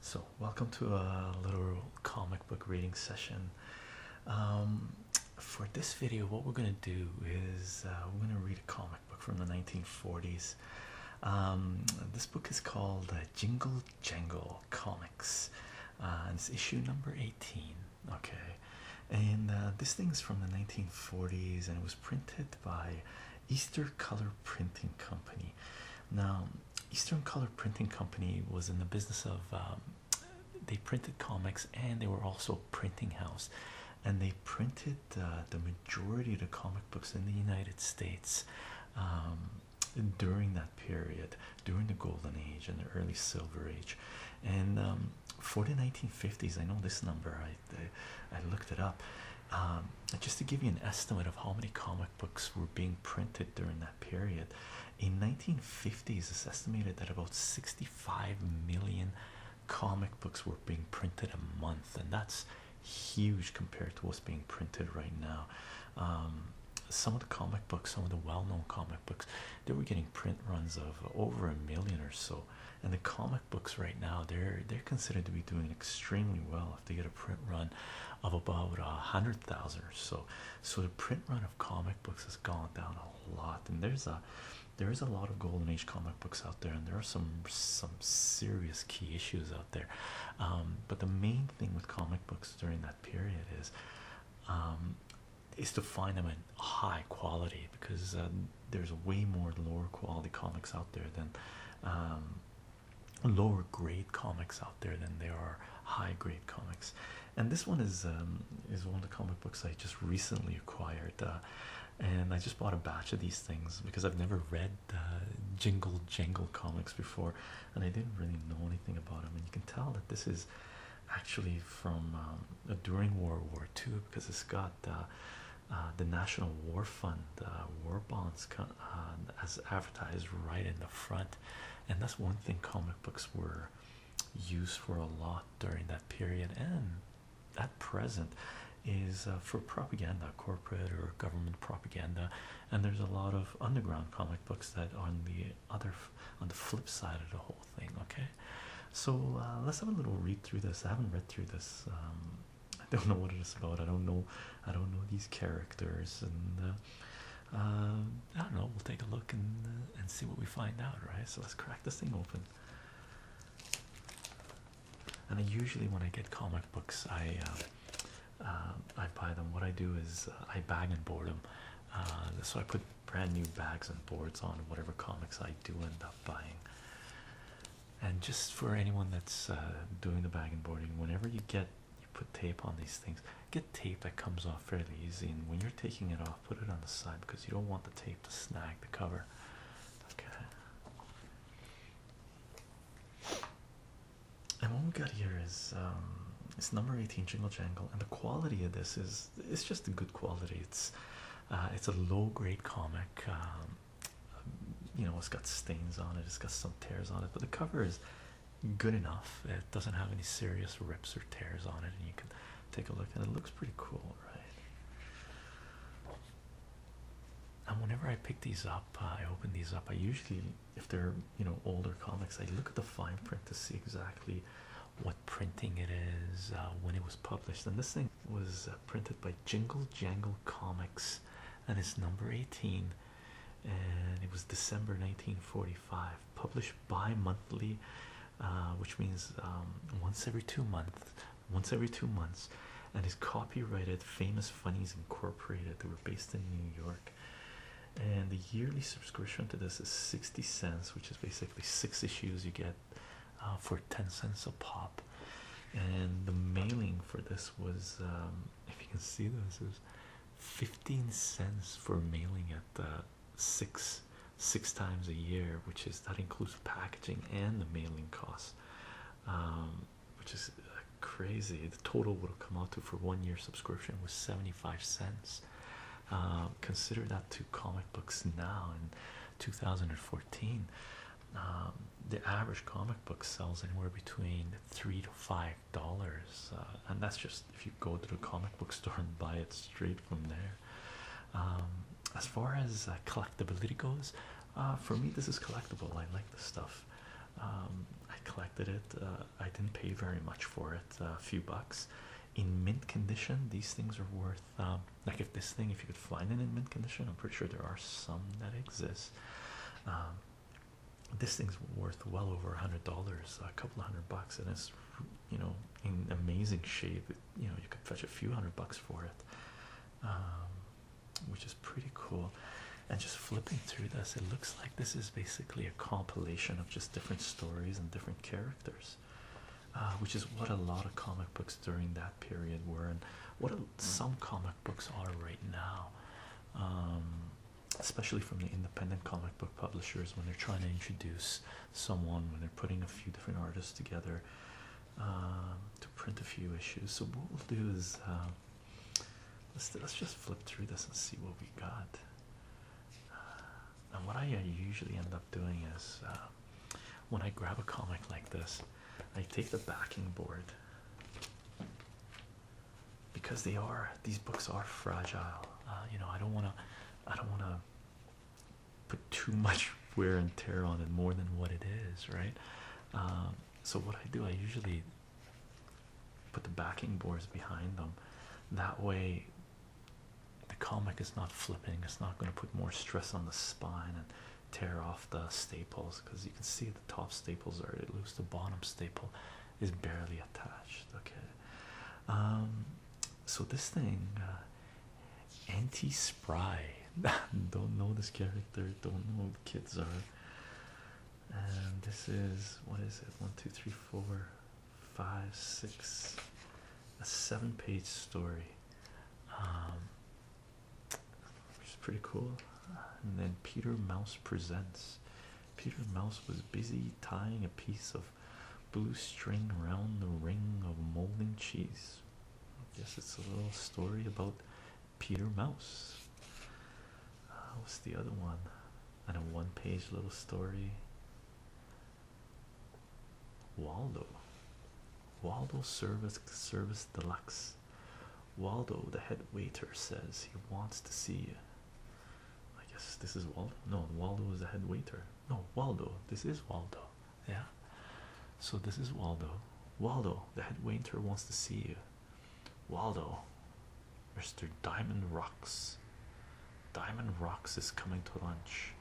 So, welcome to a little comic book reading session. Um, for this video, what we're going to do is uh, we're going to read a comic book from the 1940s. Um, this book is called uh, Jingle Jangle Comics, uh, and it's issue number 18 okay and uh, this thing is from the 1940s and it was printed by Eastern Color Printing Company now Eastern Color Printing Company was in the business of um, they printed comics and they were also a printing house and they printed uh, the majority of the comic books in the United States um, during that period during the golden age and the early silver age and um, for the 1950s, I know this number. I I, looked it up. Um, just to give you an estimate of how many comic books were being printed during that period, in 1950s, it's estimated that about 65 million comic books were being printed a month, and that's huge compared to what's being printed right now. Um, some of the comic books, some of the well-known comic books, they were getting print runs of over a million or so and the comic books right now they're they're considered to be doing extremely well if they get a print run of about a hundred thousand or so so the print run of comic books has gone down a lot and there's a there is a lot of golden age comic books out there and there are some some serious key issues out there um, but the main thing with comic books during that period is um, is to find them in high quality because um, there's way more lower quality comics out there than um, lower grade comics out there than there are high grade comics and this one is um, is one of the comic books I just recently acquired uh, and I just bought a batch of these things because I've never read uh, jingle jangle comics before and I didn't really know anything about them and you can tell that this is actually from um, during World War II because it's got uh, uh, the National War Fund uh, war bonds as advertised right in the front, and that's one thing comic books were used for a lot during that period and at present is for propaganda, corporate or government propaganda, and there's a lot of underground comic books that on the other on the flip side of the whole thing. Okay, so uh, let's have a little read through this. I haven't read through this. Um, I don't know what it is about. I don't know. I don't know these characters, and uh, uh, I don't know. We'll take a look and and see what we find out. Right. So let's crack this thing open. And I usually, when I get comic books, I um, I buy them. What I do is I bag and board them. Uh, so I put brand new bags and boards on whatever comics I do end up buying. And just for anyone that's uh, doing the bag and boarding, whenever you get you put tape on these things, get tape that comes off fairly easy. And when you're taking it off, put it on the side because you don't want the tape to snag the cover. Okay. And what we got here is um, it's number 18 Jingle Jangle, and the quality of this is it's just a good quality. It's uh, it's a low grade comic. Um, you know, it's got stains on it. It's got some tears on it, but the cover is good enough. It doesn't have any serious rips or tears on it, and you can take a look. And it looks pretty cool, right? And whenever I pick these up, I open these up. I usually, if they're you know older comics, I look at the fine print to see exactly what printing it is, uh, when it was published. And this thing was uh, printed by Jingle Jangle Comics, and it's number 18, and it was December 1945. Published bi monthly, uh, which means um, once every two months, once every two months, and it's copyrighted Famous Funnies Incorporated. They were based in New York and the yearly subscription to this is 60 cents which is basically six issues you get uh, for 10 cents a pop and the mailing for this was um, if you can see this is 15 cents for mailing at uh, six six times a year which is that includes packaging and the mailing costs um, which is uh, crazy the total would have come out to for one year subscription was 75 cents uh, consider that two comic books now in 2014. Um, the average comic book sells anywhere between three to five dollars, uh, and that's just if you go to the comic book store and buy it straight from there. Um, as far as uh, collectability goes, uh, for me, this is collectible. I like the stuff. Um, I collected it, I didn't pay very much for it, a few bucks in mint condition these things are worth um, like if this thing if you could find it in mint condition i'm pretty sure there are some that exist um, this thing's worth well over a hundred dollars a couple hundred bucks and it's you know in amazing shape you know you could fetch a few hundred bucks for it um, which is pretty cool and just flipping through this it looks like this is basically a compilation of just different stories and different characters, uh, which is what a lot of comic books during that period were, and what some comic books are right now, um, especially from the independent comic book publishers when they're trying to introduce someone, when they're putting a few different artists together um, to print a few issues. So, what we'll do is. Um, let's, let's just flip through this and see what we got. Uh, and what I uh, usually end up doing is uh, when I grab a comic like this, I take the backing board because they are these books are fragile. you know, I don't want to, I don't want to put too much wear and tear on it more than what it is, right? Um, so what I do, I usually put the backing boards behind them. That way, the comic is not flipping, it's not going to put more stress on the spine and tear off the staples because you can see the top staples are loose, the bottom staple is barely attached. Okay, um, so this thing, uh, anti spry, don't know this character, don't know who the kids are. And this is what is it? One, two, three, four, five, six, a seven page story, um, which is pretty cool. And then Peter Mouse presents. Peter Mouse was busy tying a piece of blue string round the ring of molding cheese. I guess it's a little story about Peter Mouse. Uh, what's the other one? and a one page little story. Waldo. Waldo service service deluxe. Waldo, the head waiter, says he wants to see you. I guess this is Waldo. No, Waldo is the head waiter. No, Waldo. This is Waldo. Yeah. So this is Waldo. Waldo, the head waiter wants to see you. Waldo, Mr. Diamond Rocks. Diamond Rocks is coming to lunch.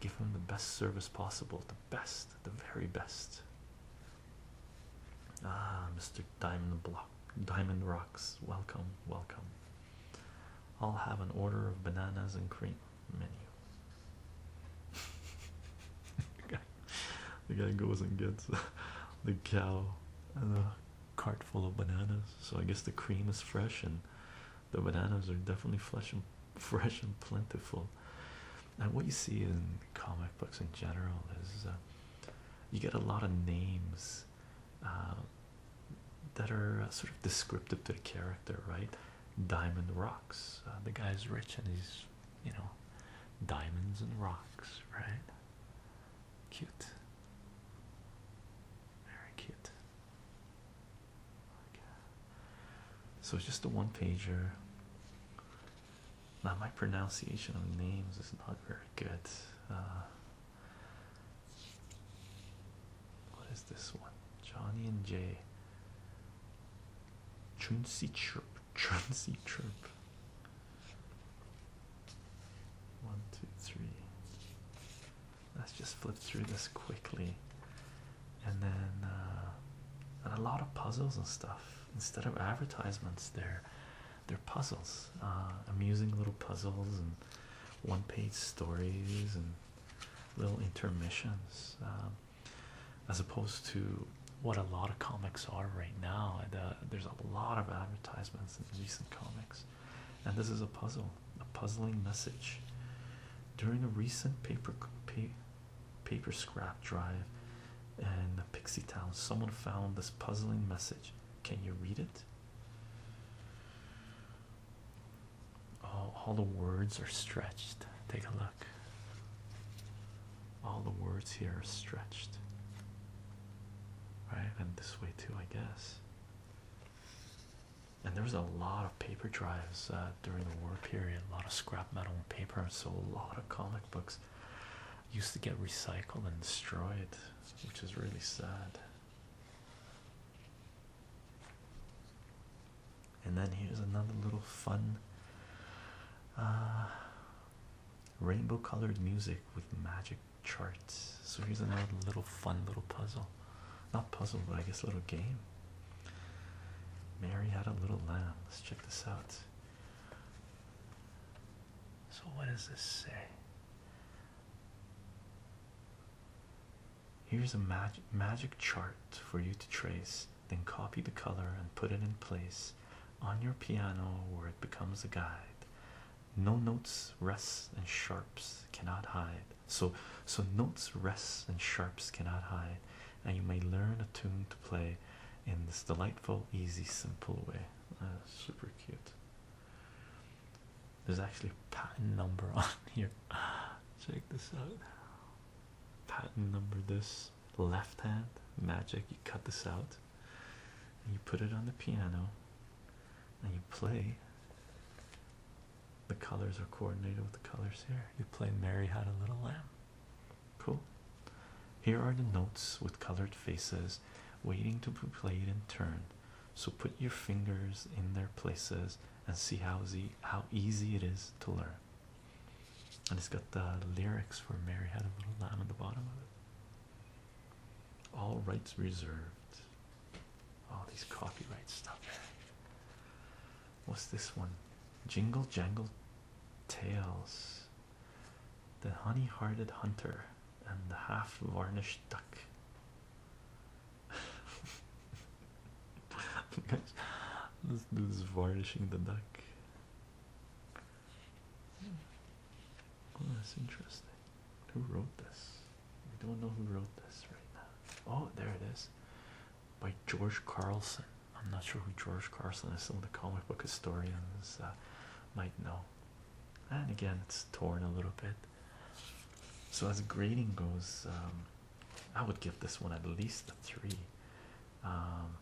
Give him the best service possible, the best, the very best. Ah, Mr. Diamond Block, Diamond Rocks, welcome, welcome. I'll have an order of bananas and cream menu. the guy goes and gets the cow cart full of bananas. So I guess the cream is fresh and the bananas are definitely fresh and fresh and plentiful. And what you see in comic books in general is uh, you get a lot of names uh, that are uh, sort of descriptive to the character, right? Diamond Rocks. the guy's rich and he's, you know, diamonds and rocks, right? Cute. Very cute. So it's just a one pager. Now my pronunciation of names is not very good. Uh, what is this one? Johnny and Jay. Chunsi Chirp. Chunsi Chirp. One, two, three. Let's just flip through this quickly. And then, uh, and a lot of puzzles and stuff. Instead of advertisements, they're they're puzzles, uh, amusing little puzzles and one-page stories and little intermissions, um, as opposed to what a lot of comics are right now. there's a lot of advertisements violence in recent comics, and this is a puzzle, a puzzling message. During a recent paper paper scrap drive in Pixie Town, someone found this puzzling message. Can you read it? all the words are stretched. Take a look all the words here are stretched. Right, and this way too, I guess. And there was a lot of paper drives uh, during the war period, a lot of scrap metal and paper, and so a lot of comic books used to get recycled and destroyed, which is really sad. And then here's another little fun uh, rainbow colored music with magic charts. So here's another little fun little puzzle. Not puzzle, but I guess little game. Mary had a little lamb. Let's check this out. So, what does this say? Here's a mag magic chart for you to trace, then copy the color and put it in place on your piano where it becomes a guide no notes rests and sharps cannot hide so so notes rests and sharps cannot hide and you may learn a tune to play in this delightful easy simple way uh, super cute there's actually a patent number on here check this out patent number this left hand magic. You cut this out and you put it on the piano and you play. The colors are coordinated with the colors here. You play Mary Had a Little Lamb. Cool. Here are the notes with colored faces waiting to be played in turn. So put your fingers in their places and see how easy, it is to learn. And it's got the lyrics for Mary Had a Little Lamb at the bottom of it. All rights reserved. All these copyright stuff. What's this one? Jingle jangle tales. The honey hearted hunter and the half varnished duck. Guys, let's do this varnishing the duck. Oh, that's interesting. Who wrote this? We don't know who wrote this right now. Oh, there it is. By George Carlson. I'm not sure who George Carlson is. Some the comic book historians uh, might know. And again, it's torn a little bit. So as grading goes, um, I would give this one at least a three. Um,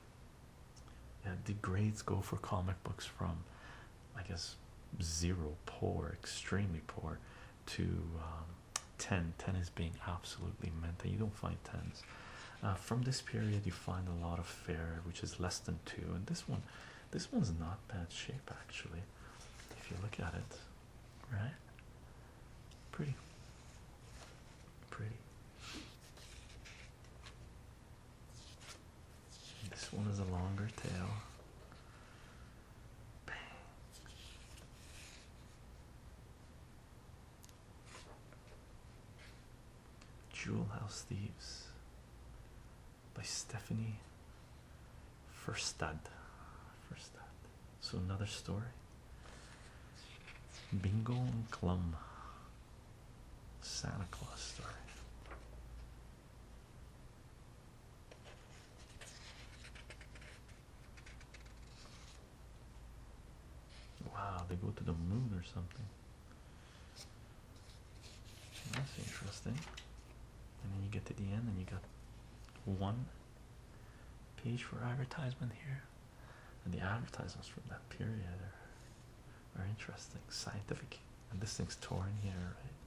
and the grades go for comic books from i guess zero poor extremely poor to um, 10 10 is being absolutely meant you don't find 10s uh, from this period you find a lot of fair which is less than two and this one this one's not bad shape actually if you look at it right pretty pretty this one is a longer tail. Jewel House Thieves by Stephanie Firstad. Firstad. So another story. Bingo and Clum. Santa Claus story. Wow, they go to the moon or something. That's interesting. And then you get to the end, and you got one page for advertisement here and the advertisements from that period are, are interesting scientific and this thing's torn here right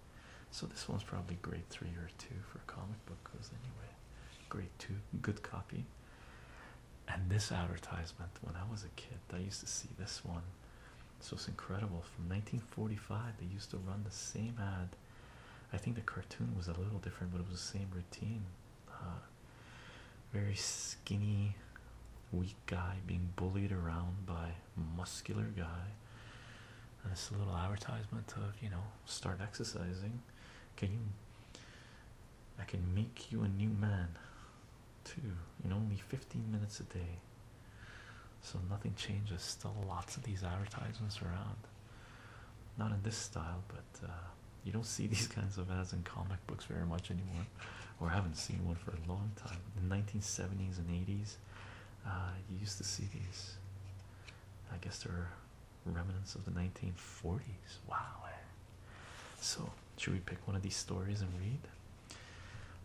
so this one's probably grade three or two for comic book goes anyway grade two good copy and this advertisement when i was a kid i used to see this one so it's incredible from 1945 they used to run the same ad i think the cartoon was a little different but it was the same routine uh, very skinny, weak guy being bullied around by muscular guy. And it's a little advertisement of you know start exercising. Can you? I can make you a new man, too. In only fifteen minutes a day. So nothing changes. Still lots of these advertisements around. Not in this style, but. Uh, you don't see these kinds of ads in comic books very much anymore, or haven't seen one for a long time. In the 1970s and 80s, uh, you used to see these. I guess they're remnants of the 1940s. Wow. Eh? So, should we pick one of these stories and read?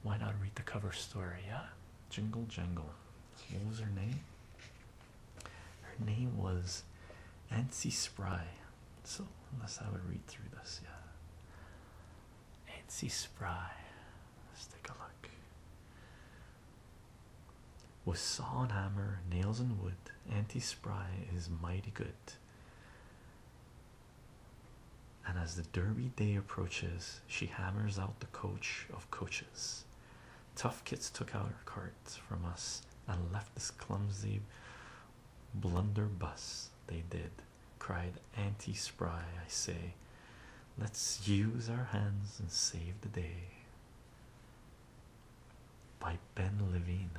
Why not read the cover story? Yeah, Jingle Jangle. What was her name? Her name was Nancy Spry. So let's have a read through this. Yeah. Nancy Spry. Let's take a look. With saw and hammer, nails and wood, Auntie Spry is mighty good. And as the Derby day approaches, she hammers out the coach of coaches. Tough Kits took out her cart from us and left this clumsy Blunderbuss, they did, cried Auntie Spry. I say, let's use our hands and save the day. By Ben Levine.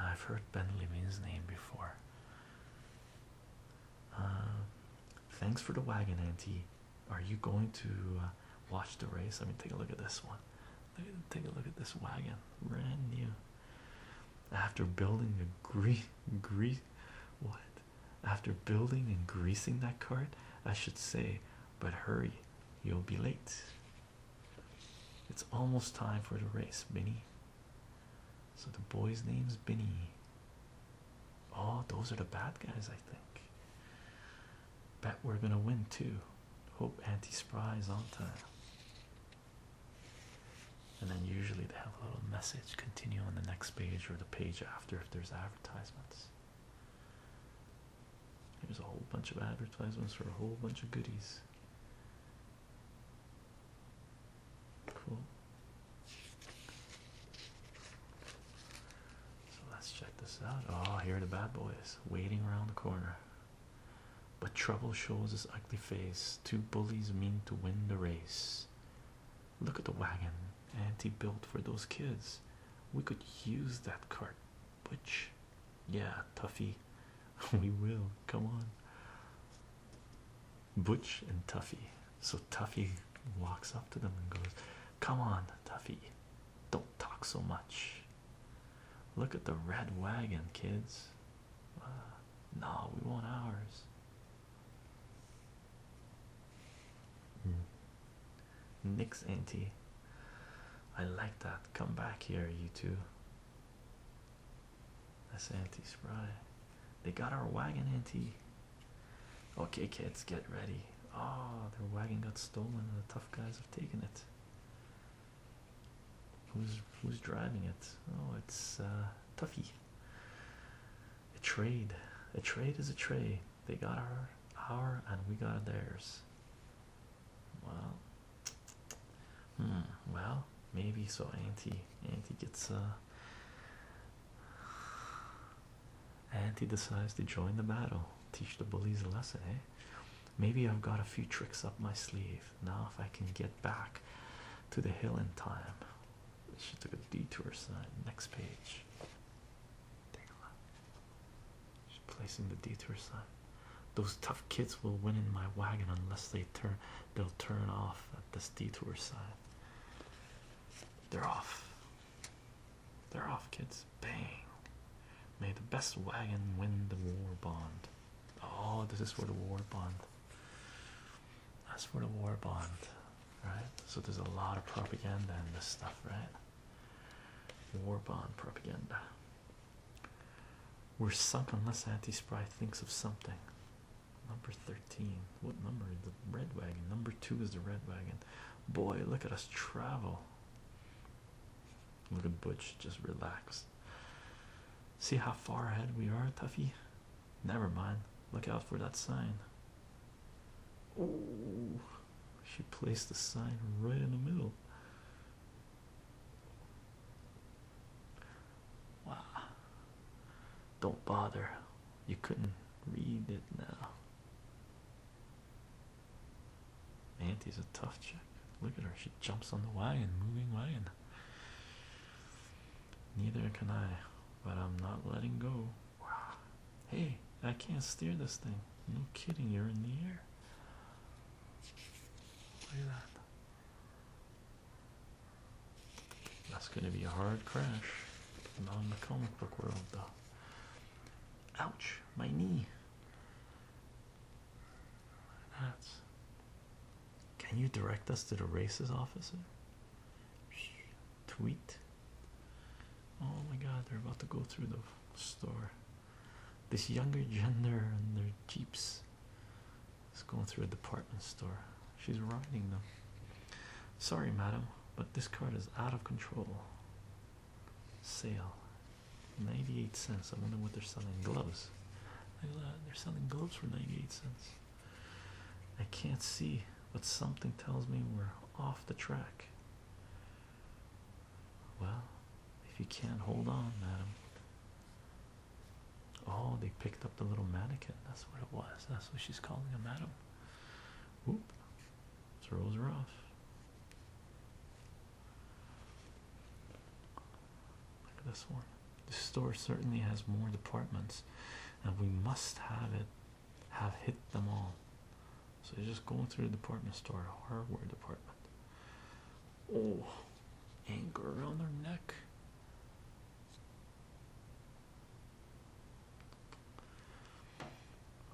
I've heard Ben Levine's name before. Um, thanks for the wagon, Auntie. Are you going to uh, watch the race? I mean, take a look at this one. Take a look at this wagon, brand new. After building a grease, grease, what? After building and greasing that cart, I should say, but hurry, you'll be late. It's almost time for the race, Binny. So the boy's name's Binny. Oh, those are the bad guys, I think. Bet we're gonna win too. Hope Auntie Spry is on time and then usually they have a little message continue on the next page or the page after if there's advertisements There's a whole bunch of advertisements for a whole bunch of goodies cool so let's check this out oh here are the bad boys waiting around the corner but trouble shows his ugly face. Two bullies mean to win the race. Look at the wagon Auntie built for those kids. We could use that cart, Butch. Yeah, Tuffy. we will. Come on. Butch and Tuffy. So Tuffy walks up to them and goes, Come on, Tuffy. Don't talk so much. Look at the red wagon, kids. Uh, no, we want ours. Hmm. Nick's anti. I like that. Come back here, you two. That's anti spray. They got our wagon, anti. Okay, kids, get ready. Oh, their wagon got stolen and the tough guys have taken it. Who's who's driving it? Oh, it's uh, Tuffy. A trade, a trade is a trade. They got our our and we got theirs. Well, hmm. Well, maybe so. Auntie, Auntie gets uh. Auntie decides to join the battle. Teach the bullies a lesson, eh? Maybe I've got a few tricks up my sleeve now. If I can get back to the hill in time, she took a detour sign. Next page, take a look. She's placing the detour sign. Those tough kids will win in my wagon unless they turn, they'll turn off at this detour sign. They're off. They're off, kids. Bang. May the best wagon win the war bond. Oh, this is for the war bond. That's for the war bond, right? So there's a lot of propaganda in this stuff, right? War bond propaganda. We're sunk unless Auntie Spry thinks of something. Number 13. What number is the red wagon? Number two is the red wagon. Boy, look at us travel. Look at Butch, just relax. See how far ahead we are, Tuffy? Never mind. Look out for that sign. Oh, she placed the sign right in the middle. Wow. Don't bother. You couldn't read it now. Auntie's a tough chick. Look at her. She jumps on the wagon, moving way. And Neither can I, but I'm not letting go. Wow. Hey, I can't steer this thing. No kidding, you're in the air. Look at that. That's going to be a hard crash. Not in the comic book world, though. Ouch, my knee. That's. Can you direct us to the races officer? Tweet. Oh my god, they're about to go through the store. This younger gender and their jeeps is going through a department store. She's riding them. Sorry, madam, but this cart is out of control. Sale. 98 cents. I wonder what they're selling gloves. Uh, they're selling gloves for 98 cents. I can't see, but something tells me we're off the track. Well, if you can't hold on, madam. Oh, they picked up the little mannequin. That's what it was. That's what she's calling him, madam. Whoop. Throws her off. Look at this one. The store certainly has more departments, and we must have it have hit them all. So you're just going through the department store, hardware department. Oh, anchor around their neck.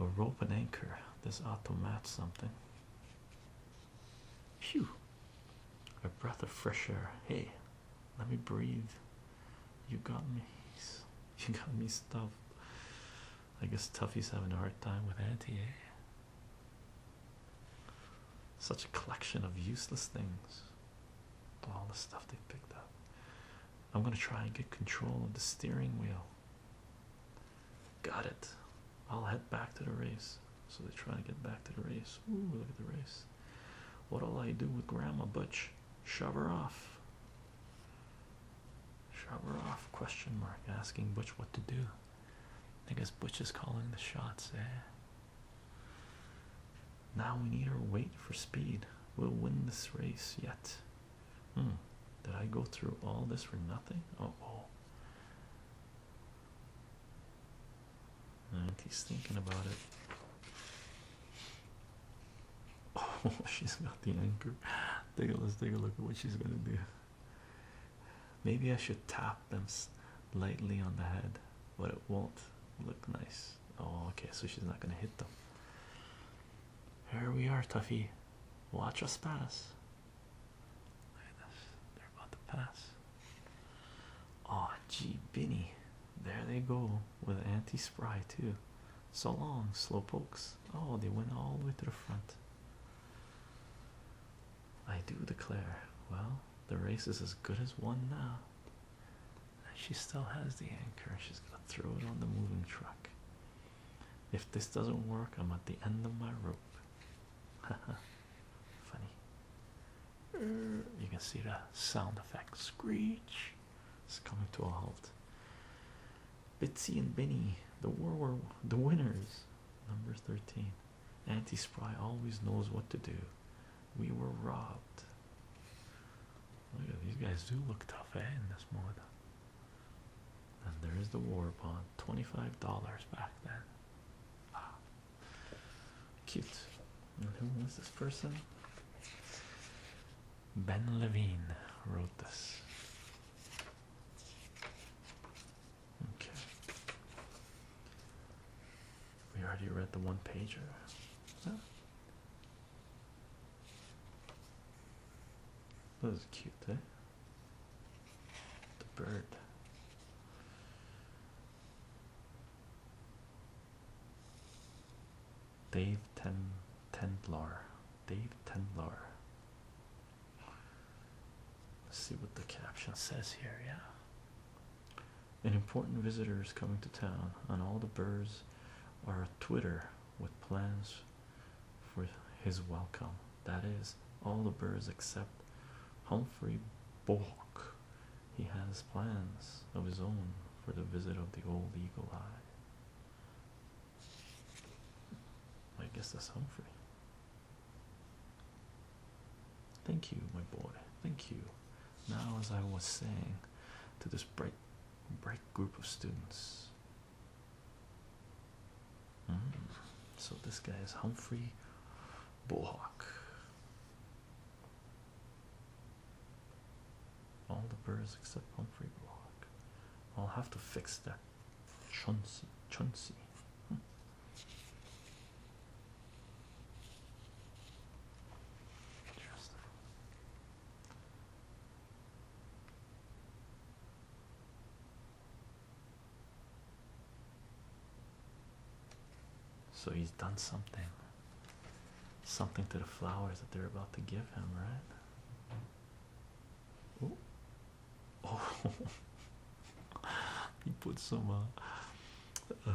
A rope and anchor. This ought to match something. Phew, a breath of fresh air. Hey, let me breathe. You got me. You got me stuffed. I guess Tuffy's having a hard time with Auntie. Eh? Such a collection of useless things. All the stuff they picked up. I'm gonna try and get control of the steering wheel. Got it. I'll head back to the race. So they try to get back to the race. Ooh, look at the race. What'll I do with Grandma Butch? Shove her off. Shove her off? Question mark. Asking Butch what to do. I guess Butch is calling the shots. Eh? Now we need her weight for speed. We'll win this race yet. Hmm. Did I go through all this for nothing? oh. And uh, he's thinking about it. Oh, she's got the anchor. Take a, let's take a look at what she's gonna do. Maybe I should tap them lightly on the head, but it won't look nice. Oh, okay, so she's not gonna hit them. Here we are, Tuffy. Watch us pass. They're about to pass. Oh, gee, Binny. There they go with anti spry, too. So long, slow pokes. Oh, they went all the way to the front. I do declare. Well, the race is as good as won now. she still has the anchor. She's going to throw it on the moving truck. If this doesn't work, I'm at the end of my rope. Funny. Mm. You can see the sound effect screech. It's coming to a halt. Bitsy and Binny, the war were the winners. Number 13. Anti Spry always knows what to do. We were robbed. Look at these guys do look tough, eh? In this mode, and there is the war bond, twenty-five dollars back then. Ah. cute. And who was this person? Ben Levine wrote this. Okay. We already read the one pager. Huh? That is cute, eh? The bird. Dave Ten Tendlar. Dave Tendlar. Let's see what the caption says here. Yeah. An important visitor is coming to town, and all the birds are a Twitter with plans for his welcome. That is, all the birds except Humphrey Bullock. He has plans of his own for the visit of the old eagle eye. I guess that's Humphrey. Thank you, my boy. Thank you. Now, as I was saying to this bright, bright group of students, Mm-hmm. So this guy is Humphrey Bullhawk. All the birds except Humphrey Bullhawk. I'll have to fix that. Chauncey, Chauncey. Interesting. Hmm. So he's done something. Something to the flowers that they're about to give him, right? Ooh. Oh, oh. he put some, uh, uh,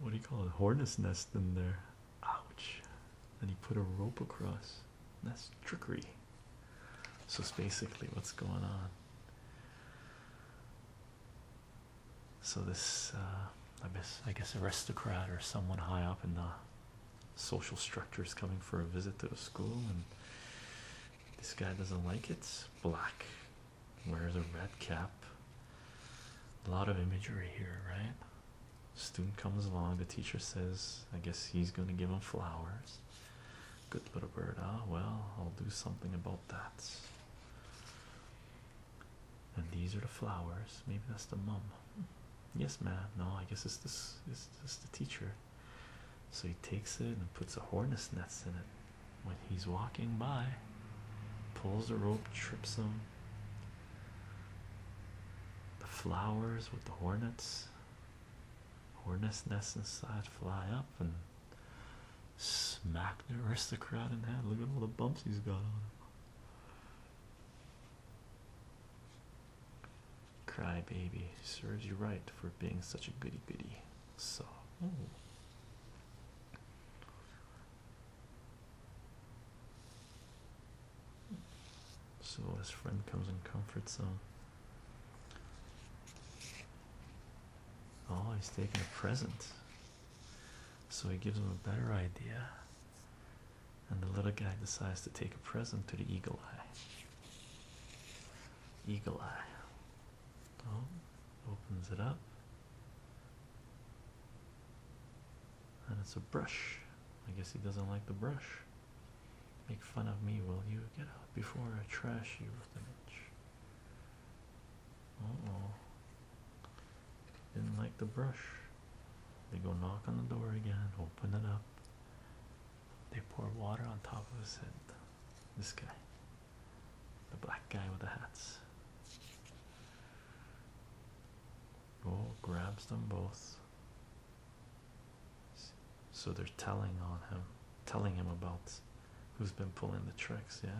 what do you call it, hornet's nest in there. Ouch. And he put a rope across. That's trickery. So it's basically what's going on. So this, uh, I guess, I guess, aristocrat or someone high up in the social structure is coming for a visit to the school, and this guy doesn't like it. Black wears a red cap. A lot of imagery here, right? Student comes along. The teacher says, "I guess he's going to give him flowers." Good little bird. Ah, well, I'll do something about that. And these are the flowers. Maybe that's the mum. Hmm. Yes, ma'am. No, I guess it's this. It's this the teacher. So he takes it and puts the hornet's nests in it. When he's walking by, pulls the rope, trips him. The flowers with the hornets. Hornets nest inside, fly up and smack the aristocrat in the head. Look at all the bumps he's got on him. Cry baby, serves you right for being such a goody goody. So, so his friend comes and comforts him. Oh, he's taking a present. So he gives him a better idea. And the little guy decides to take a present to the eagle eye. Eagle eye. Oh, opens it up. And it's a brush. I guess he doesn't like the brush. Make fun of me, will you? Get out before I trash you with an itch. Uh oh. Didn't like the brush. They go knock on the door again, open it up. They pour water on top of his head. This guy. The black guy with the hats. Oh, grabs them both. So they're telling on him, telling him about who's been pulling the tricks, yeah.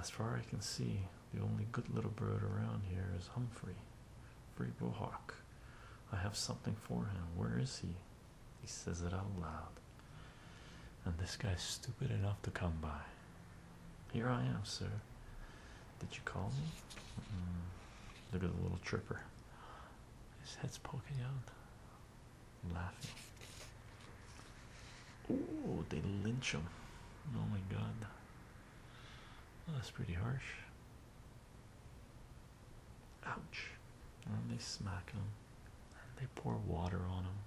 As far as I can see, the only good little bird around here is Humphrey, Free Hawk. I have something for him. Where is he? He says it out loud. And this guy's stupid enough to come by. Here I am, sir. Did you call me? Look at the little tripper. His head's poking out. laughing. Oh, they lynch him. Oh my god. Oh, that's pretty harsh. Ouch. And they smack him. And they pour water on him.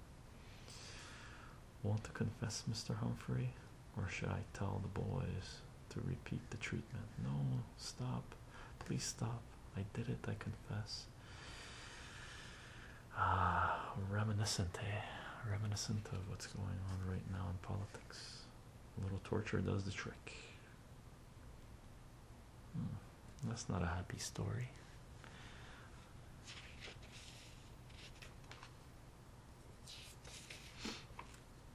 Want to confess, Mr. Humphrey? Or should I tell the boys to repeat the treatment? No, stop. Please stop. I did it, I confess. Ah, reminiscent, Reminiscent of what's going on right now in politics. A little torture does the trick. Hmm, that's not a happy story.